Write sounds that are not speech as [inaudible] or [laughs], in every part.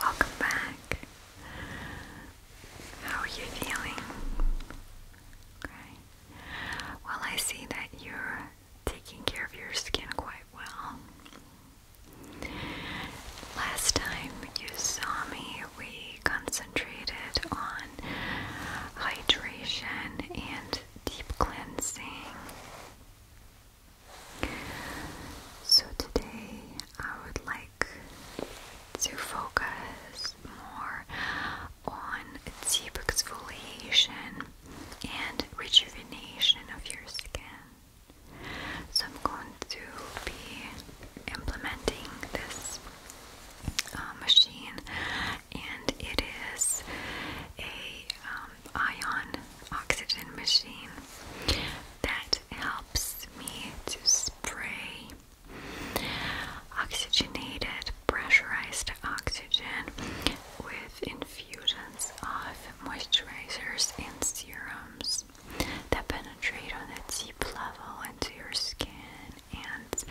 Welcome back. How are you feeling? Well, I see that you're taking care of your skin quite well. Last time you saw me, we concentrated on hydration and deep cleansing. So today I would like to focus more on deep exfoliation and rejuvenation of your skin. So I'm going to be implementing this uh, machine, and it is a um, ion oxygen machine that helps me to spray oxygenated, pressurized oxygen with infusions of moisturizers and serums that penetrate on a deep level into your skin and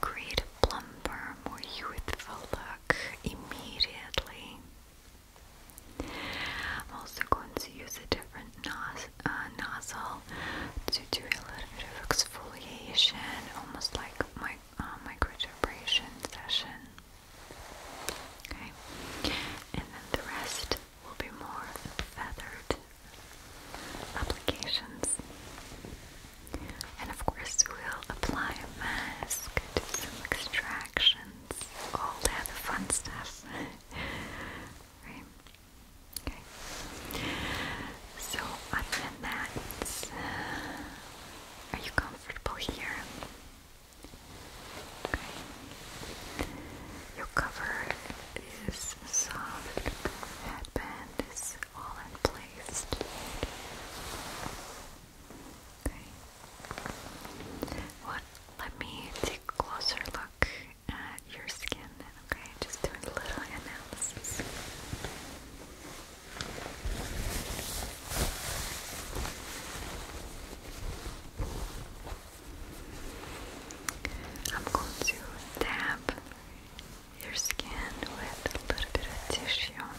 create a plumper, more youthful look immediately. I'm also going to use a different uh, nozzle to do a little bit of exfoliation, almost like my uh, microdermabrasion session. Okay, and then the rest will be more feathered applications. And of course, we'll apply a mask, do some extractions, all that fun stuff. [laughs] right? Okay. So, other than that, uh, are you comfortable here? Your cover is soft, headband is all in place. Okay. What? Let me take a closer look at your skin, okay? Just doing a little analysis. I'm going to dab your skin with a little bit of tissue.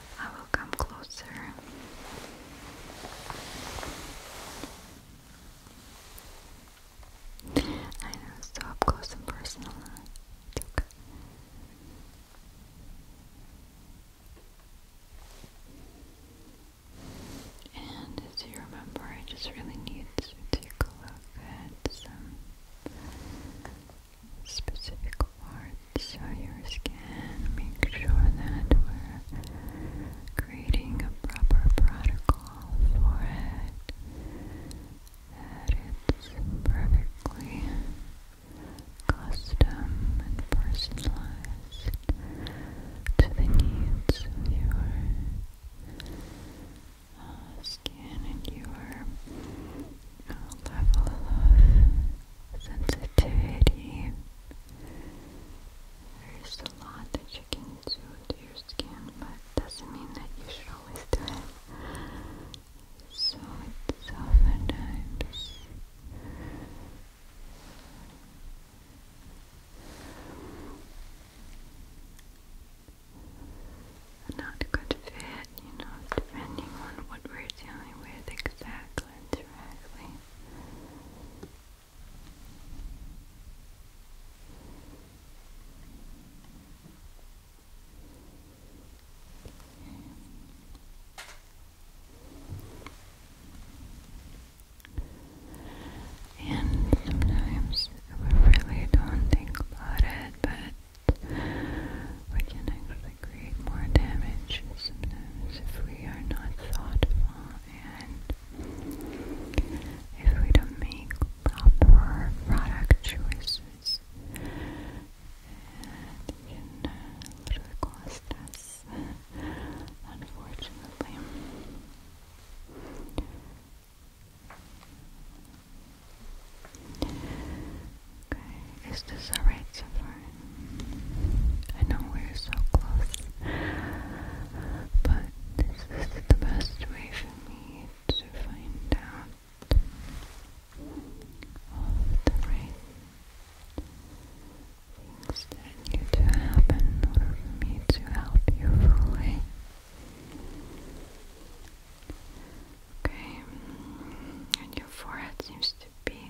I will come closer. I know, so up close and personal. And as you remember, I just really need to take a look at some specific parts so your skin, make sure that we're creating a proper protocol for it, that it's perfectly custom and personalized to the needs of your uh, skin and your uh, level of sensitivity. There's a lot that you can do to your skin, but doesn't mean that you should always do it. So it's oftentimes not a good fit, you know, depending on what we're dealing with exactly cleanser actually. And sometimes we really don't think about it, but we can actually that create more damage sometimes if we are not thoughtful and if we don't make proper product choices. Uh, it can literally cost us, unfortunately. Okay, is this alright so far? I know we're so close, but this is the best way for me to find out all the right things need to happen in order for me to help you fully. Okay, and your forehead seems to to be a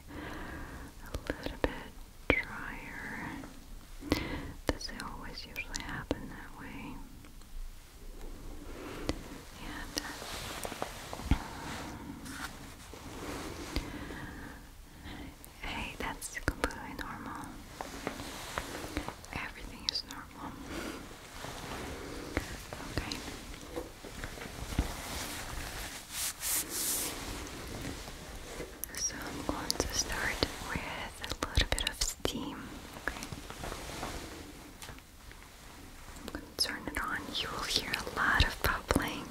little bit drier. Does it always usually happen that way? And uh, hey, that's completely normal. Everything is normal. Okay. So I'm going to start with a little bit of steam. I'm going to turn it on. You will hear a lot of bubbling,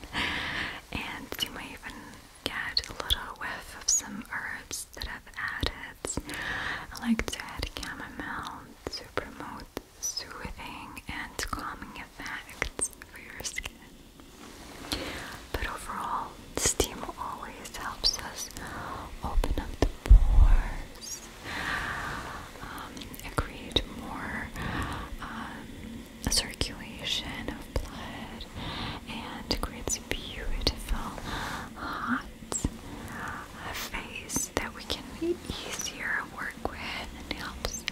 and you may even get a little whiff of some herbs that I've added. I like to add chamomile to promote soothing and calming effects for your skin. But overall, steam always helps us open up the pores, um, and create more um, circulation of blood, and creates beautiful hot face that we can easier work with and helps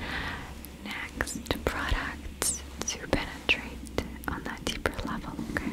next products to penetrate on that deeper level, Okay.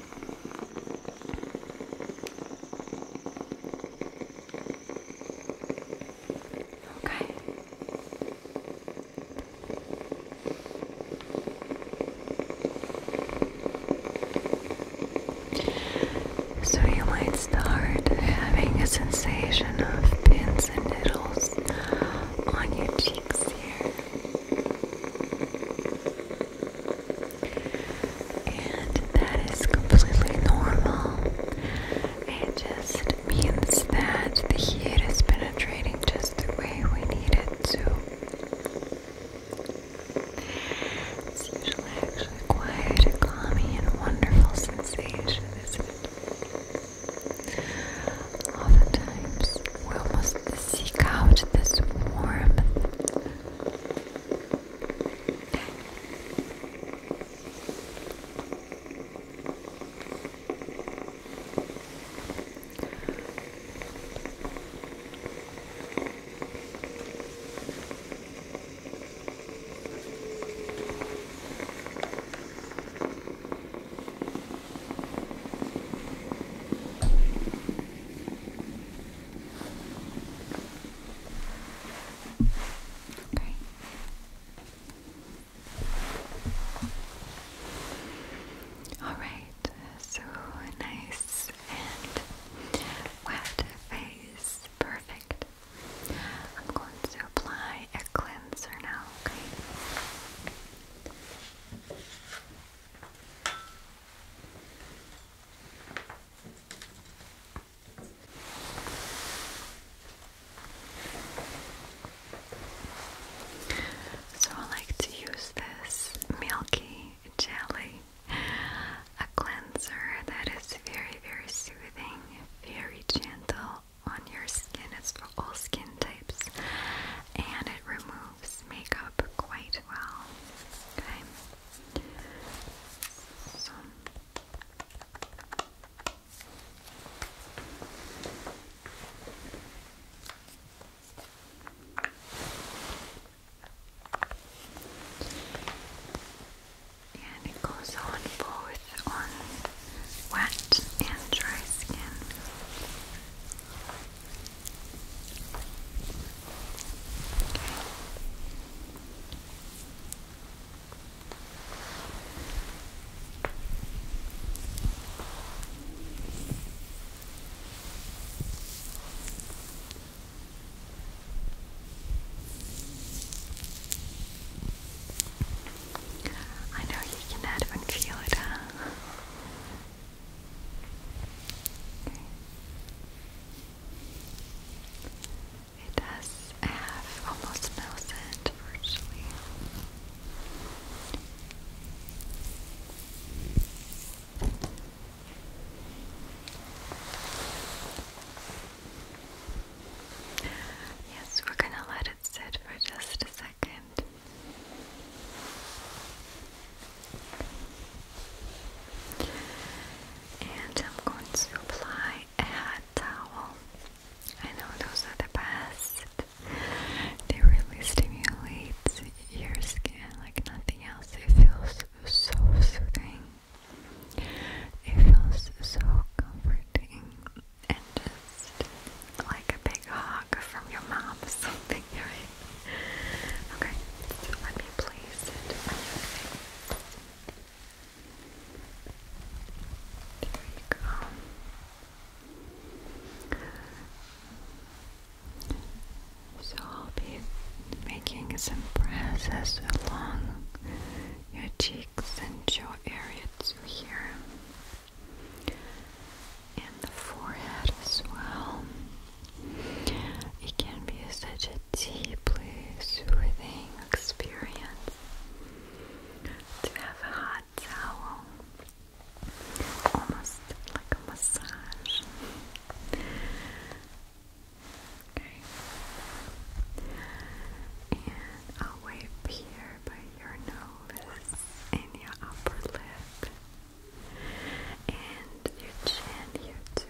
Okay. So you might start having a sensation of pins and needles on your cheeks here. And that is completely normal. It just means that the heat is penetrating just the way we need it to. It's usually actually quite a calming and wonderful sensation, is it? Oftentimes, we must seek out this warmth. Okay. All right, so nice and wet face, perfect. I'm going to apply a cleanser now, okay? So I like to use this milky jelly, a cleanser that is very, very soothing, very gentle on your skin. It's for all skin types, and it removes themselves make up quite well. Okay? So. And it goes on both on wet and dry skin. I know you can not even feel it, Okay. It does have almost no virtually. Yes, we're going to let it sit for just a second. And I'm going to apply a hot towel. I know those are the best. They really stimulate your skin like nothing else. It feels so soothing. It feels so comforting and just like a big hug from your mom [laughs] something, right? Okay, so let me place There you go. So I'll be making some presses along your cheeks and jaw area to here and the forehead as well. It can be such a deeply soothing experience to have a hot towel, almost like a massage. Okay. And I'll wipe here by your nose and your upper lip and your chin here too.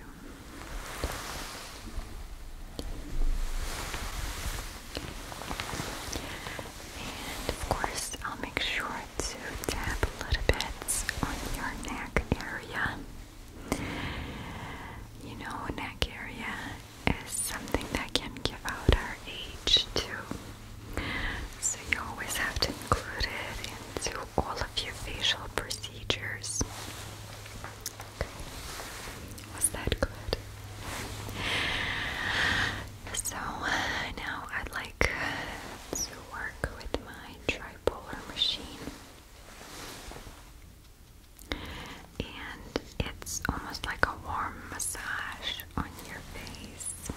And of course, I'll make sure to tap little bit on your neck area. You know, neck area is something that can give out our age too. So you always have to include it into all of your facial procedures. Was that good? So now I'd like uh, to work with my tripolar machine. And it's almost like a warm massage on your face.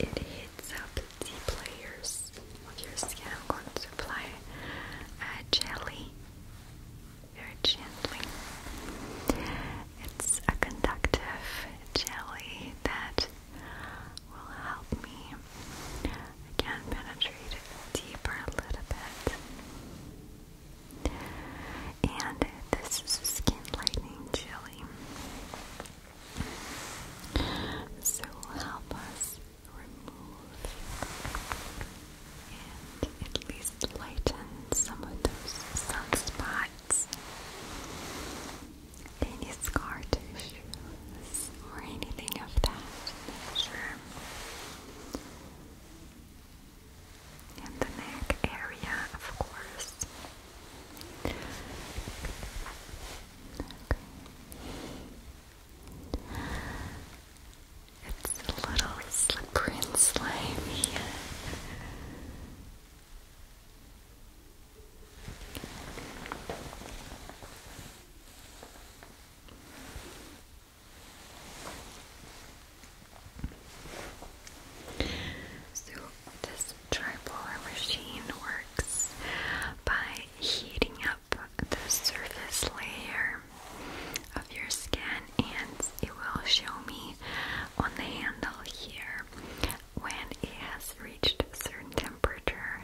It heats up the players of your skin. I'm going to apply uh, jelly very gently. It's a conductive jelly that will help me again penetrate deeper a little bit. And this skin lightening jelly. So help us remove and at least lighten some of those sunspots, any scar tissues, or anything of that nature. And the neck area, of course. Okay. It's a little slippery and slimy. So this tripolar machine works by heating up the surface layer of your skin, and it will show me on the handle here when it has reached a certain temperature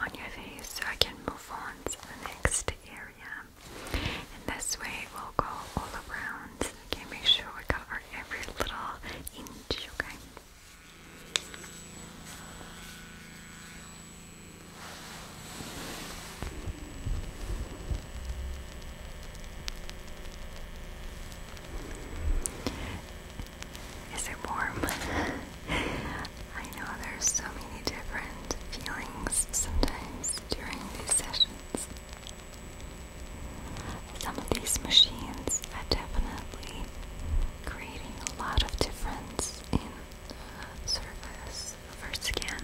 on your face, so I can move on to the next area. And this way, we will go all around. Okay, make sure we cover every little inch. Okay. Is it warm? [laughs] I know there's so many different feelings sometimes during these sessions. Some of these machines are definitely creating a lot of difference in uh, surface service for skin.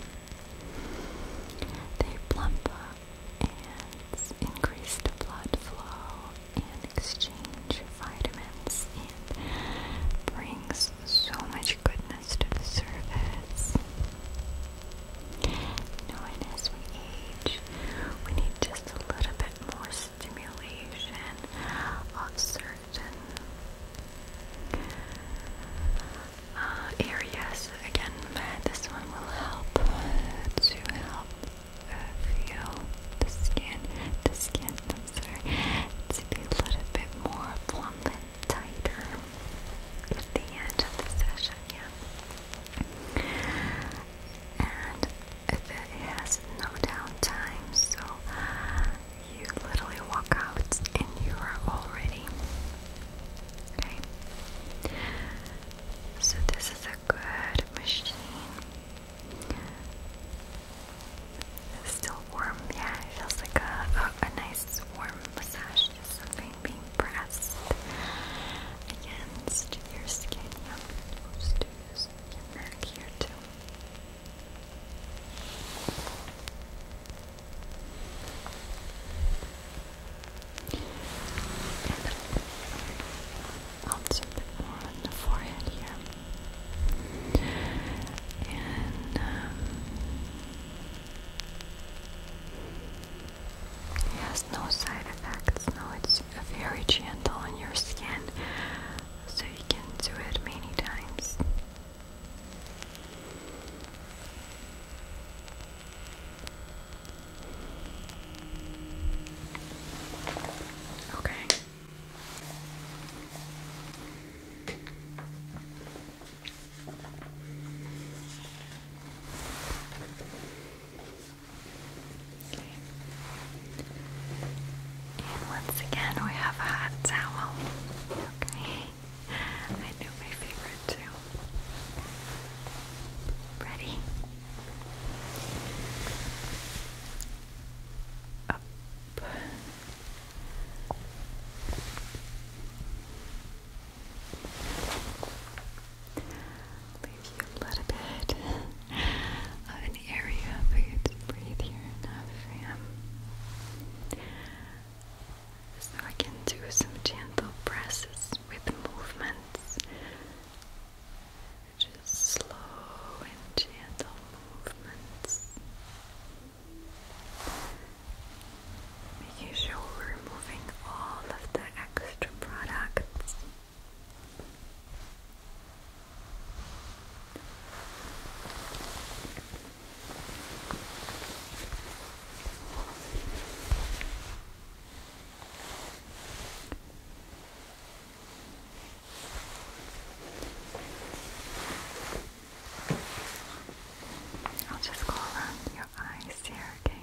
They plump up and increase the blood flow and exchange vitamins and brings so much goodness to the surface. Knowing as we age, we need just a little bit more stimulation of certain uh, areas. Again, this one will help to help uh, feel the skin, the skin, sorry, to be a little bit more plump and tighter at the end of the session, yeah and it has no downtime, so you literally walk out and you are already okay. So, this is a good machine. It's still warm, yeah, it feels like a, a, nice warm massage, just something being pressed against your skin. Yeah. Oops do this back here too. And also a bit more on the forehead here. And um, it has no side effects, no, very gentle on your skin, so you can do it many times. Okay. And once again, we have a hot towel. Okay. I know my favorite too. Ready? Up leave you a little bit [laughs] of an area for you to breathe here enough So I can do some gentle presses with movements. Just slow and gentle movements. Making sure we're removing all of the extra products I'll just go around your eyes here, okay?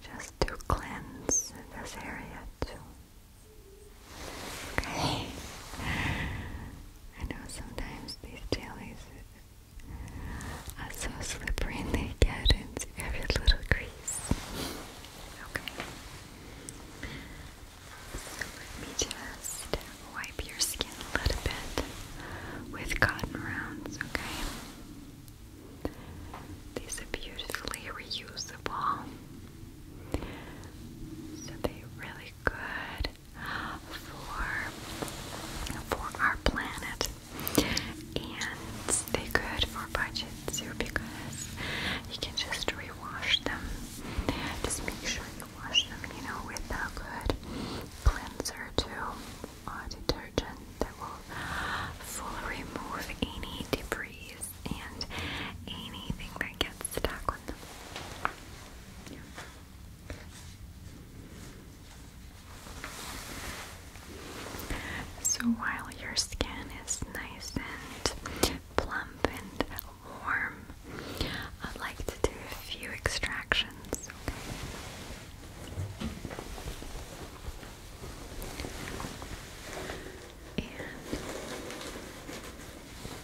Just to cleanse this area too. Okay. I know sometimes these jellies are so slippery and they get into every little crease. Okay. So let me just wipe your skin a little bit with cotton rounds, okay? These are beautifully reusable. So they're really good for for our planet. And they're good for budget too because you can just rewash them. Just make sure you wash them, you know, with a good cleanser too a uh, detergent that will fully remove any debris and anything that gets stuck on them. So while your skin is nice and plump and warm, I'd like to do a few extractions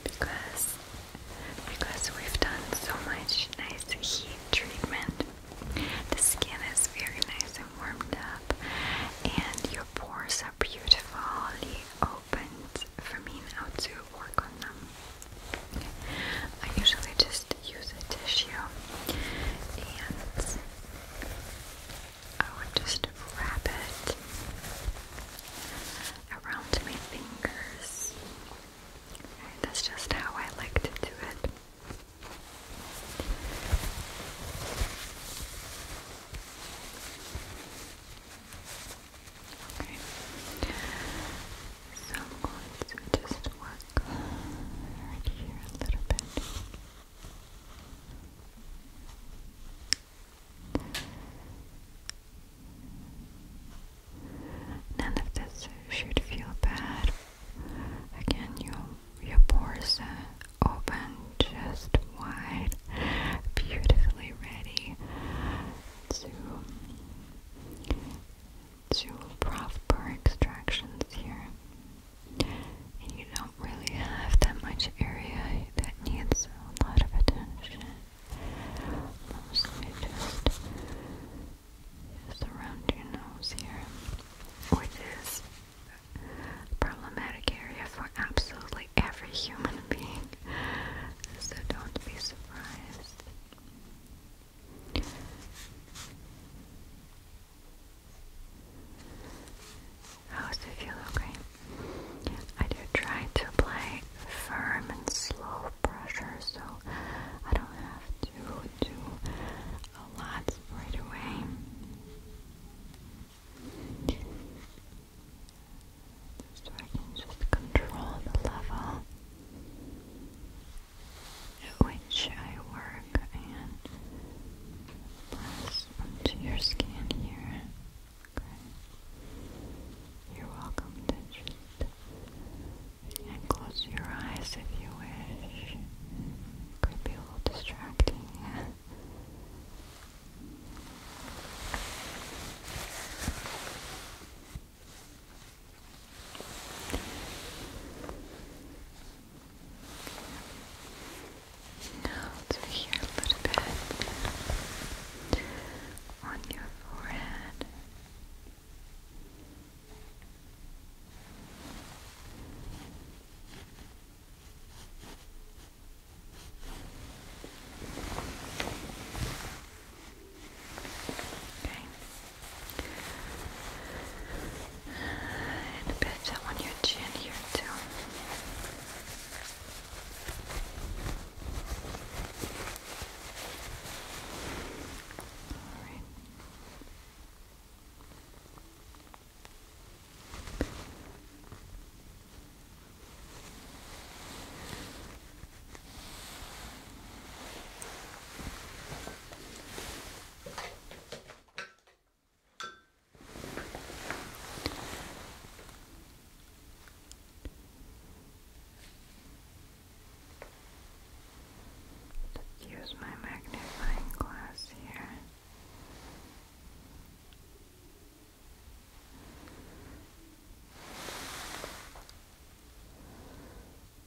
because because we've done so much nice heat treatment, the skin is very nice and warmed up, and your pores are beautifully opened for me now to work on them. I usually just just use a tissue and I would just wrap it around my fingers. that's just how I like to do it. Okay, so just work None of this should feel bad. Again, your your pores are open, just wide, beautifully ready to two proper extractions here. And you don't really have that much area that needs a lot of attention. Mostly just, just around your nose here, which is problematic area for absolutely every human being. So don't be surprised. How does it feel? Okay. I do try to apply firm and slow pressure so I don't have to do a lot right away. So I can just control the level which I work and press onto your skin here. You're welcome to just and close your eyes if you wish. Could be a little distracting. Now to here a little bit on your forehead. Okay. And a bit on your chin here too. All right. Let's use my magnifying glass here.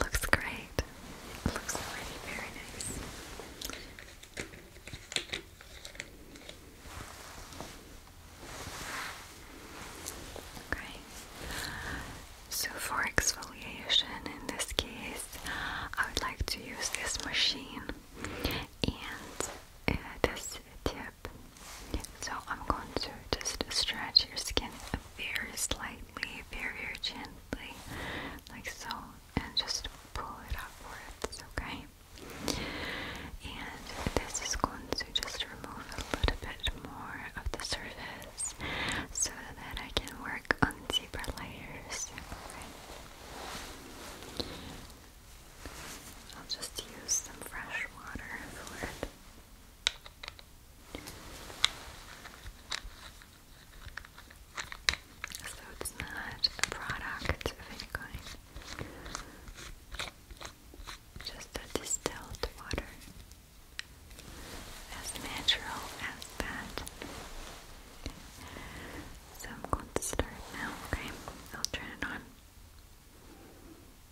looks great. looks very nice. Okay. So for exfoliation in this case, I would like to use this machine and uh, this tip so I'm going to just stretch your skin very slightly, very, very gently, like so, and just pull it upwards, okay? And this is going to just remove a little bit more of the surface so that I can work on deeper layers. Okay. I'll just use some fresh water for it. So it's not a product of any kind, just a distilled water. As natural as that. So I'm going to start now, okay? I'll turn it on.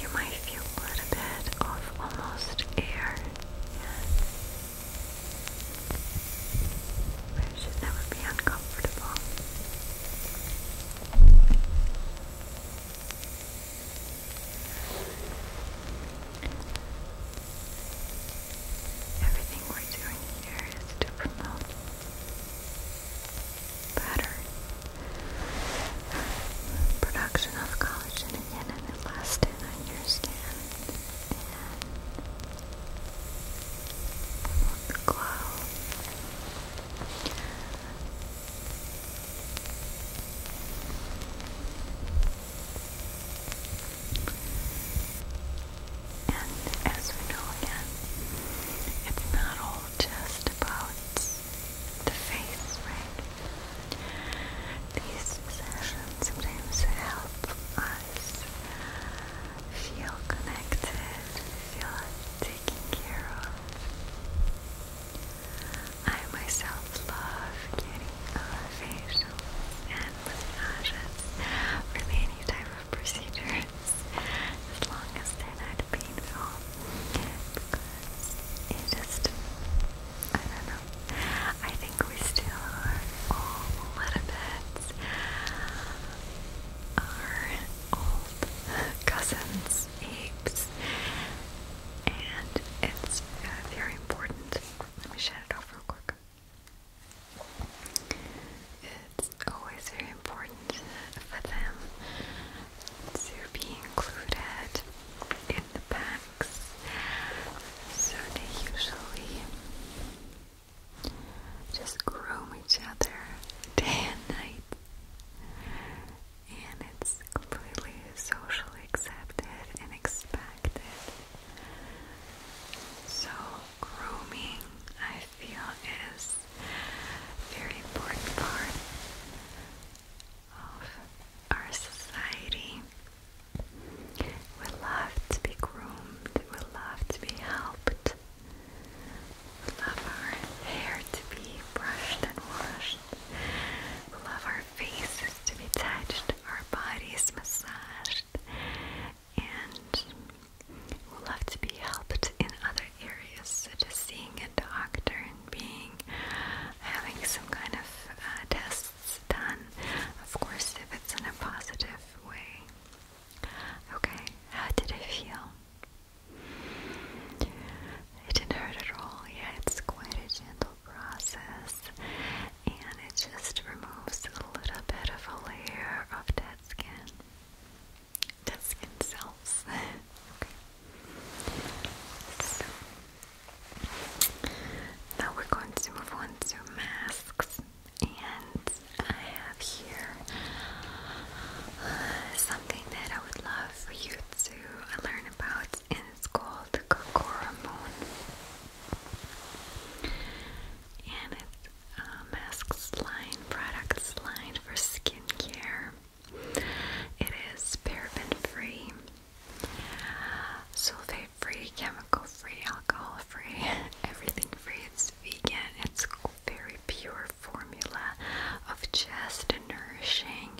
You might feel a little bit of almost air, but it should never be uncomfortable. Everything we're doing here is to promote better production of collagen and elastin on your skin and glow. And as we know again, it's not all just about the face, right? These sessions sometimes help us feel connected, feel taken care of. I myself love getting a facial and massages, any type of procedures, as long as they're not painful. it just, I don't know. I think we still are all little bit our old cousins, apes, and it's very important. Let me shut it off real quick. It's always very important for them to be included in the packs, so they usually just groom each other [laughs] day and night. And it's completely socially accepted and expected so, grooming, I feel, is very important part of our society. We love to be groomed, we love to be helped, we love our hair to be brushed and washed, we love our faces to be touched, our bodies massaged and will love to be helped in other areas, such as seeing a doctor and being having some kind of uh, tests done. Of course, if it's in a positive way. Okay, how did it feel? It didn't hurt at all. Yeah, it's quite a gentle process and it just removes a little bit of a layer of dead skin. Dead skin cells. [laughs] So now we're going to move on to masks and I have here uh, something that I would love for you to learn about in school called Kokora Moon. And it's a mask line, products line for skincare. It is paraben free, sulfate free, chemical free, alcohol free, [laughs] everything free. It's vegan, it's very pure formula of just nourishing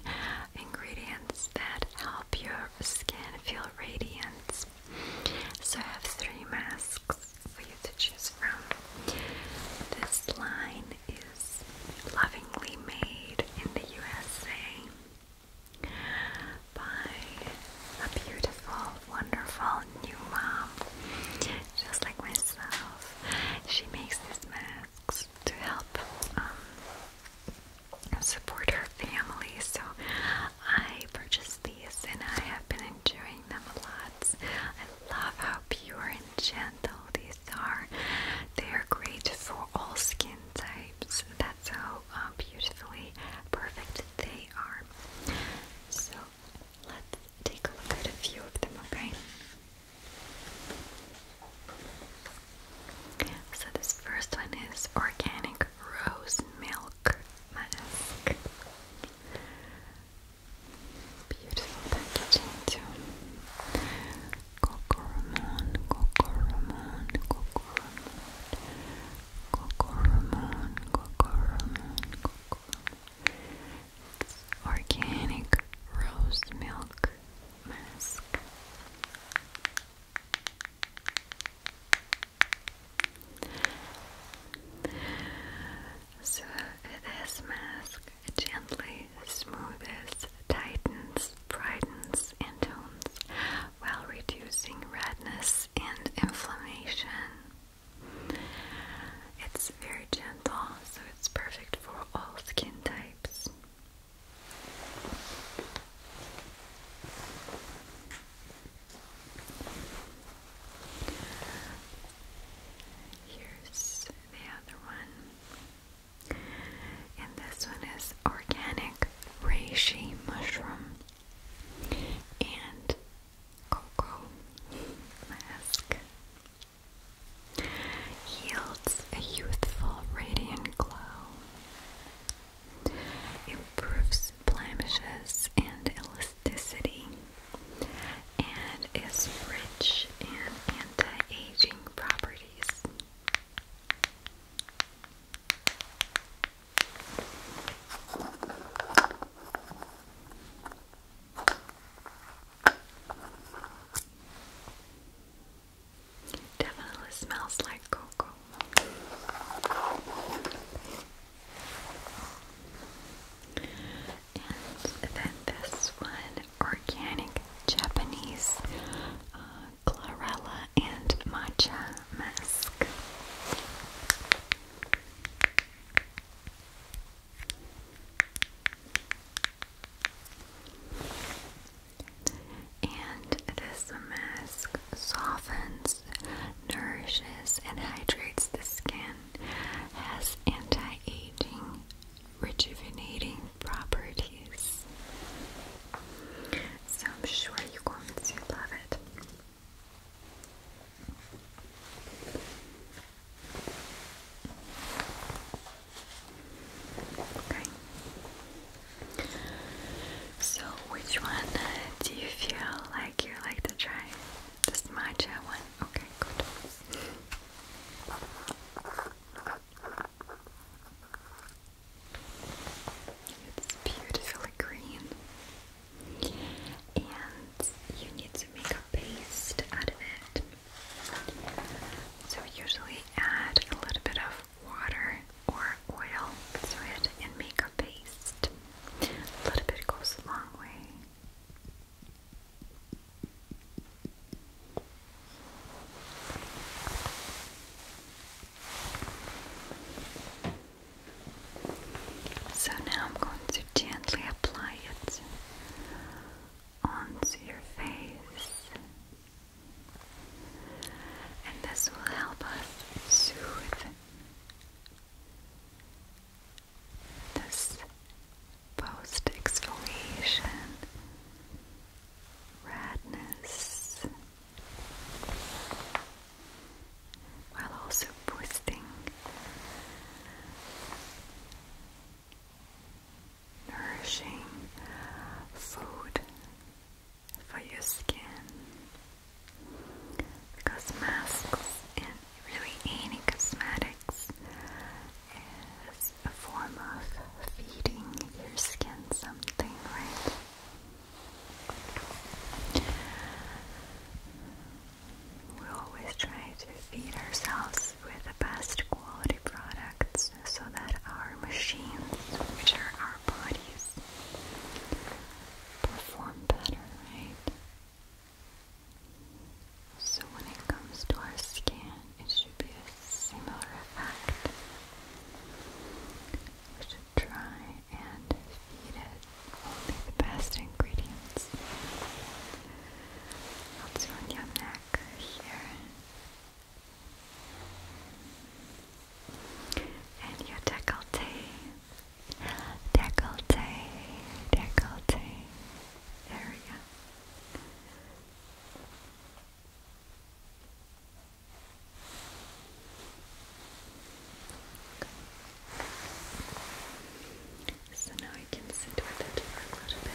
ingredients that help your skin feel radiant, so I have three masks for you to choose from. This line is lovingly made in the USA by a beautiful, wonderful new mom, just like myself. She makes these masks to help um, support her family. So I purchased these and I have been enjoying them a lot. I love how pure and gentle these are. They are great for all skin types. That's how uh, beautifully perfect they are. So let's take a look at a few of them, okay? So this first one is organic Rose Milk Mask. Beautiful packaging too. Cocoramon, Cocoramon, Cocoramon, Cocoramon, Cocoramon, Cocoramon. It's organic rose milk mask. So this mask, gently smooths, tightens, brightens, and tones while reducing redness and inflammation. It's very gentle, so it's perfect for all skin types. Here's the other one. And this one is organic reishi mushroom and cocoa mask. Yields a youthful, radiant glow improves blemishes and elasticity, and is rich in anti-aging properties. Definitely smells like cocoa. And then this one, organic Japanese uh, chlorella and matcha mask. And this mask softens, nourishes, and hydrates the skin, has anti aging, rejuvenating properties. So I'm sure you're going love it. Okay. So, which one uh, do you feel like you like to try? This matcha one? Okay, good. It's beautifully green, and you need to make a paste out of it. So, usually add a little bit of water or oil. Let's and make a paste. A little bit goes a long way. So now I'm going to gently apply it onto your face. And this will help us soothe this post exfoliation redness while also boosting nourishing food for your skin because masks and really any cosmetics is a form of feeding your skin something, right? We always try to feed ourselves with the best quality products so that our machines, which are our bodies, perform better, right? So when it comes to our skin, it should be a similar effect. We should try and feed it only the best ingredients. I'll do on your neck here and your decollete, decollete, decollete. There we go. So now I can sit with it for a little bit.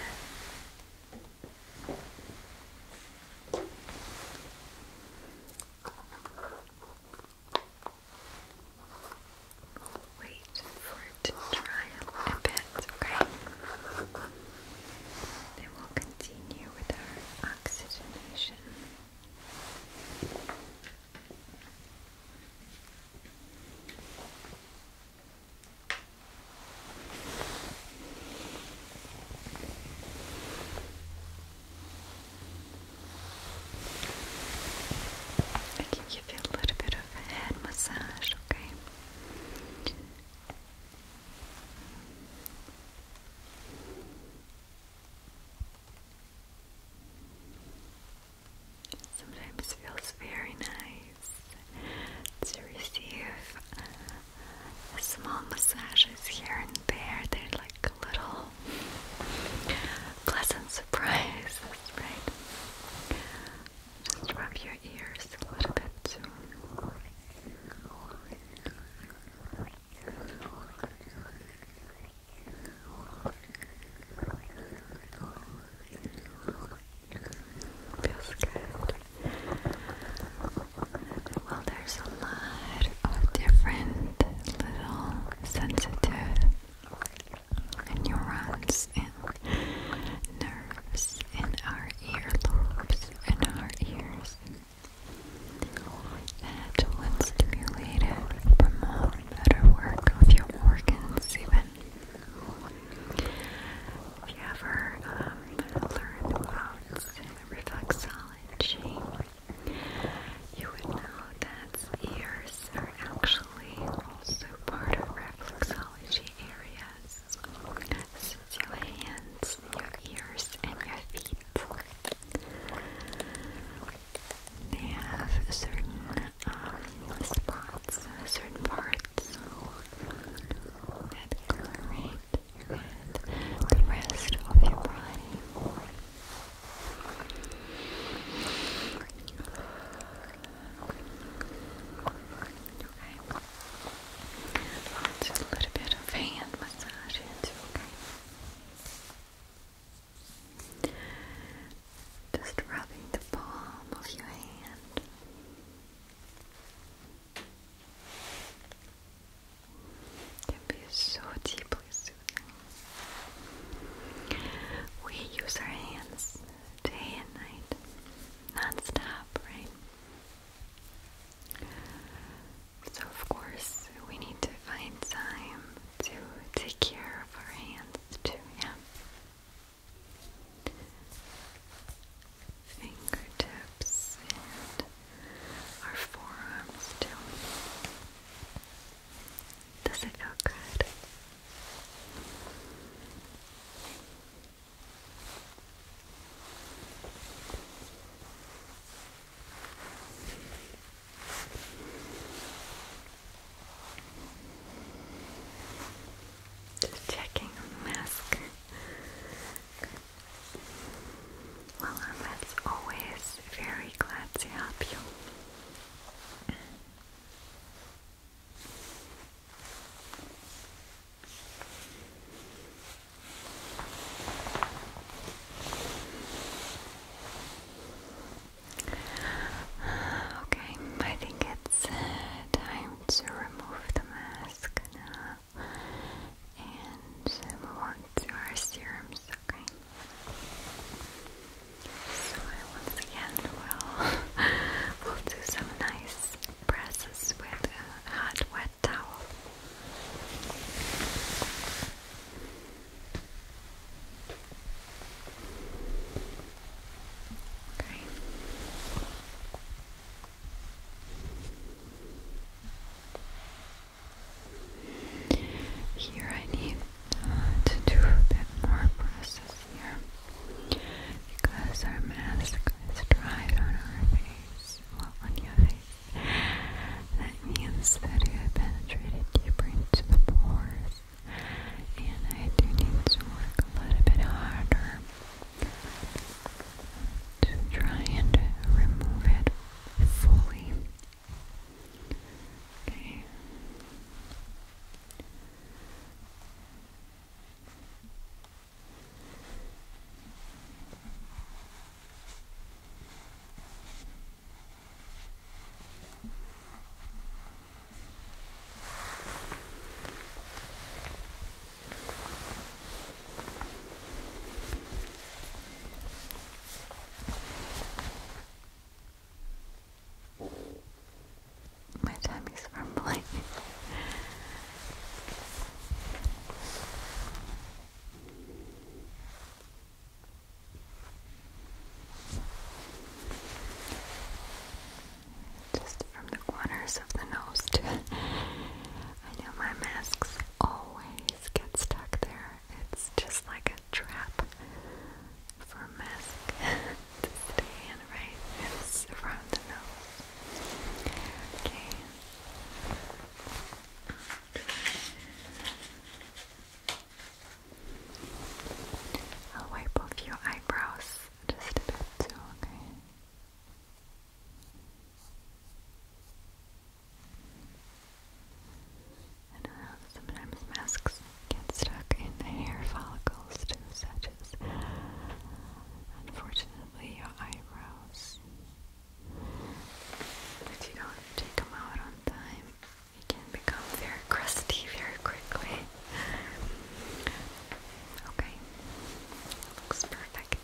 Wait for it to dry a bit, okay? Then we'll continue with our oxygenation. I can give you a little bit of head massage, okay? Sometimes feels very nice to receive uh, small massages here and there. They're like a little pleasant surprises, right? Just rub your ears a little bit Feels good. Well, there's a lot of different little sensitive neurons and nerves in our earlobes and our ears that, when stimulated, promote better work of your organs, even. If you ever um, learn about reflexology, you would know that ears are actually also part of reflexology areas. Since your hands, your ears, and your feet, they have certain um, spots, certain parts that correlate and the rest of your body. Okay. a little bit of hand massage okay. Just rubbing the palm of your hand. It can so deeply soothing. We use our hands day and night, non-stop, right? So of course we need to find time to take care of our hands too, yeah. Fingertips and our forearms too. Does it feel good? Just checking the mask. Well, I'm always very glad to help you. Okay, I think it's uh, time to remove the mask now and move on to our serums, okay? So I once again will [laughs] we'll do some nice presses with a hot wet towel. Okay. Here I need uh, to do a bit more process here because our mask is dry on our face, well on your face. That means that it penetrated deeper into the pores and I do need to work a little bit harder to try and remove it fully. Okay. My tummy's rumbling. Just from the corners of the nose, [laughs] I know my masks always bees get stuck there. It's just like a trap for musk [laughs] to stay in, right? around the nose. Okay. I'll wipe off your eyebrows just a bit too, okay? I don't uh, sometimes masks get stuck in the hair follicles such as, unfortunately, your eyebrows. If you don't take them out on time, it can become very crusty very quickly. Okay, looks perfect.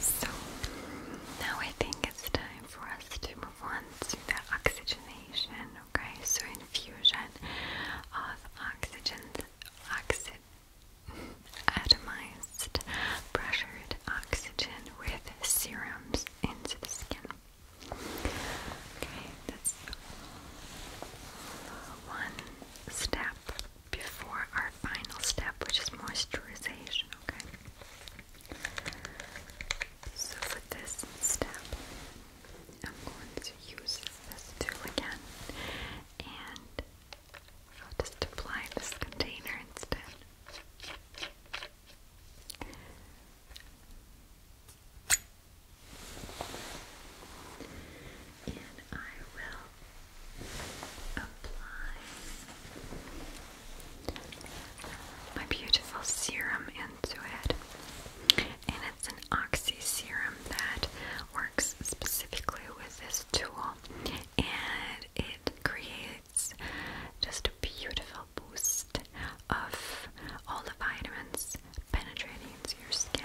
So now I think it's time for us to move on to the oxygenation, okay? So infusion of oxygen, atomized, pressured oxygen with serums into the skin. Okay, that's one step before our final step, which is moisturization, okay? So for this step, I'm going to use this tool again and I'll just apply this container instead and I will apply my beautiful serum into it. And it's an Oxy serum that works specifically with this tool, and it creates just a beautiful boost of all the vitamins penetrating into your skin.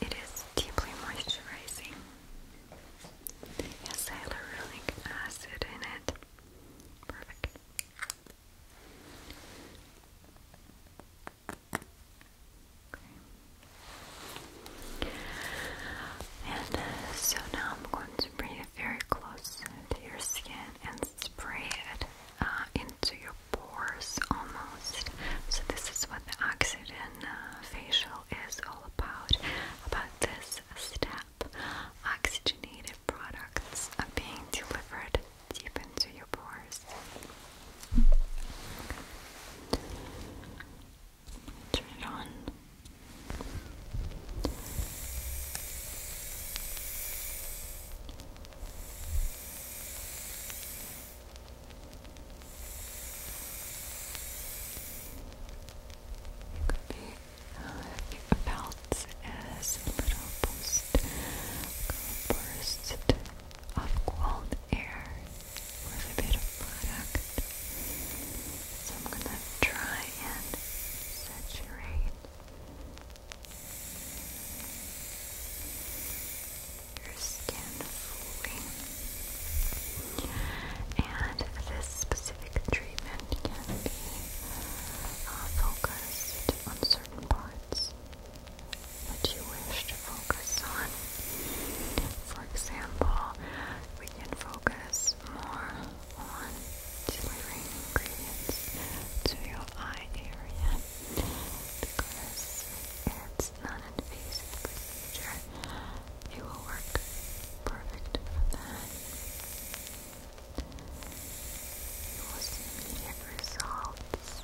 It is deeply moisturizing. It has hyaluronic acid in it. Perfect. And uh, so now I'm going to bring it very close to your skin and spray it uh, into your pores almost. So, this is what the acid uh, facial is all about, about this step. Oxygenated products are being delivered deep into your pores. Turn it on. You could be felt uh, as a little burst of cold air with a bit of product. So I'm gonna try and saturate your skin fully. And this specific treatment can be uh, focused on certain parts that you wish to focus on. For example, we can focus more on delivering ingredients to your eye area because it's its non-invasive procedure, it will work perfect You will see immediate results.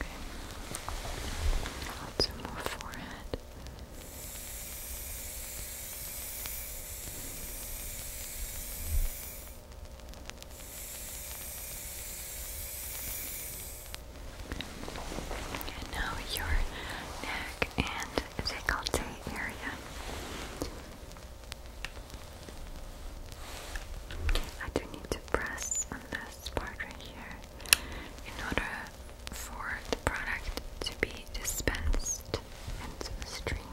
Okay, lots more forehead. And now your neck and décolleté area. I do need to press on this part right here in order for the product to be dispensed into the stream.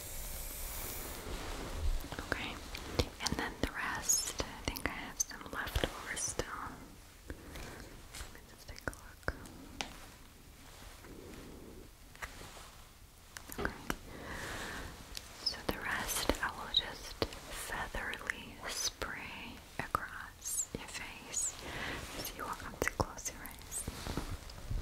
Okay, and then the rest, I think I have some left over still. Let's take a look. Okay, so the rest I will just featherly spray across your face. So you won't come too close your eyes.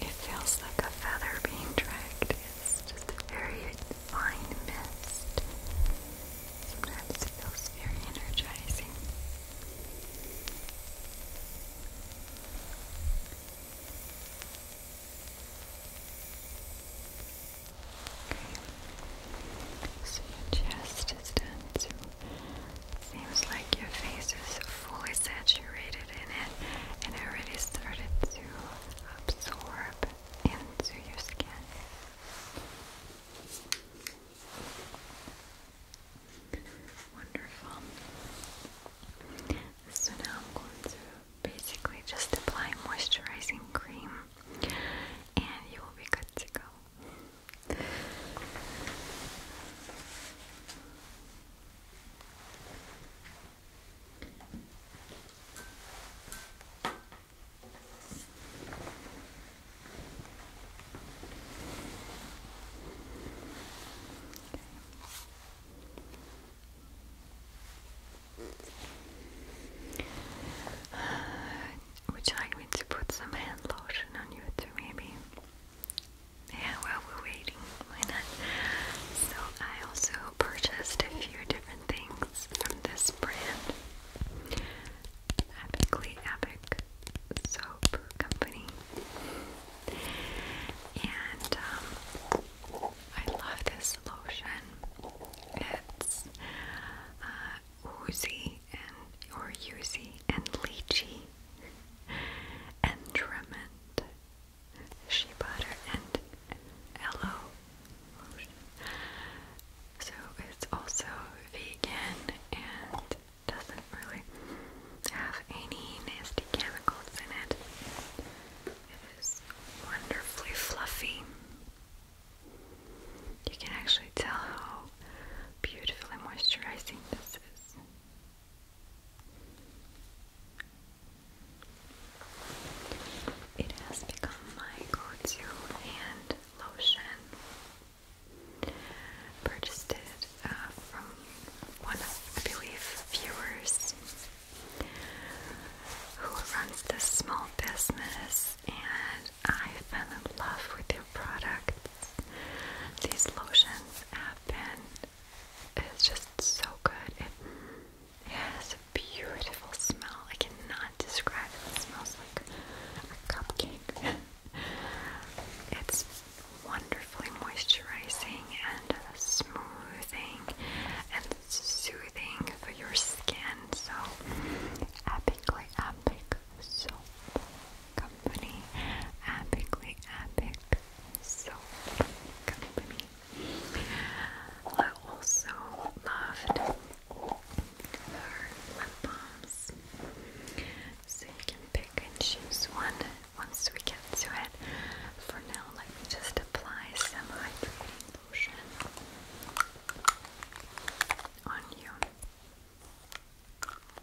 It feels like a feather being dragged. It's just a very fine mist. Sometimes it feels very energizing. So your chest is done, so Seems like your face is fully saturated in it and already started to absorb into your skin. Wonderful. So now I'm going to basically just apply moisturizing cream and you will be good to go. Uh, would you like me to put some hand lotion on you too, maybe? Yeah, while we're waiting, why not? So I also purchased a few different things from this brand. Epically Epic Soap Company. And um, I love this lotion. It's uh, and or oozy and lychee and Tremont shea butter and aloe So it's also vegan and doesn't really have any nasty chemicals in it. It is wonderfully fluffy. You can actually tell how beautifully moisturizing this is. It has become my go-to hand lotion. Purchased uh, from one I believe, viewers who runs this small business, and I fell in love with their products. These lotions happen. It's just so good. It, it has a beautiful smell. I cannot describe it. It smells like a cupcake. [laughs] it's wonderfully moisturizing and smoothing and soothing for your skin. So epically epic soap company. Epically epic soap company. I also loved her lip balms. So you can pick and choose one once we get to it. For now, let me just apply some hydrating lotion on you.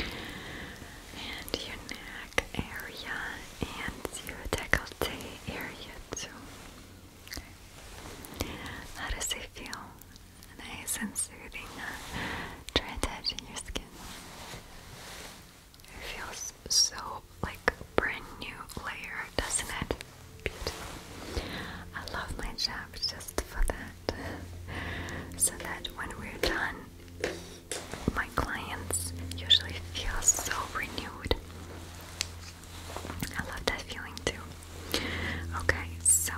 and your neck area and your decollete area too. Okay. How does it feel? Nice and soothing. Try touching your skin. It feels so like brand new layer, doesn't it? Beautiful. I love my job just for that. [laughs] So that when we're done, my clients usually feel so renewed. I love that feeling too. Okay, so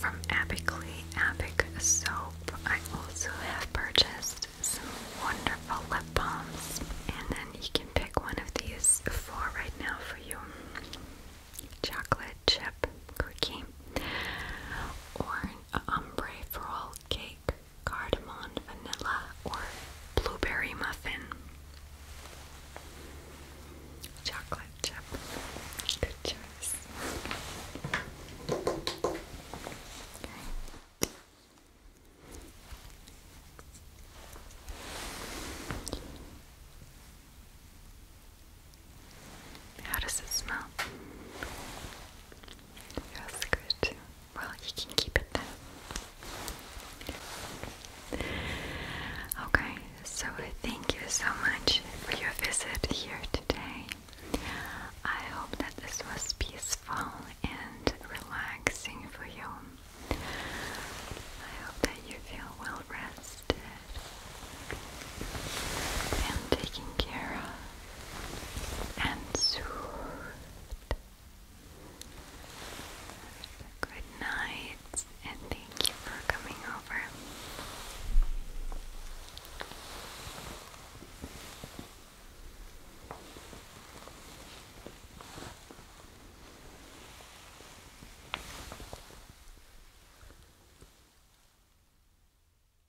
from Epically Epic Soap, I also have purchased some wonderful lip balms, and then you can pick one of these four right now for your chocolate, chip cookie, or an ombre cake, cardamom, vanilla, or blueberry muffin. Chocolate chip. Good choice. How does it smell? It good. Well, you can keep it Okay, so thank you so much for your visit here today. I hope that this was peaceful and relaxing for you. I hope that you feel well rested trusted and taken care of and soothed. Good night, and thank you for coming over.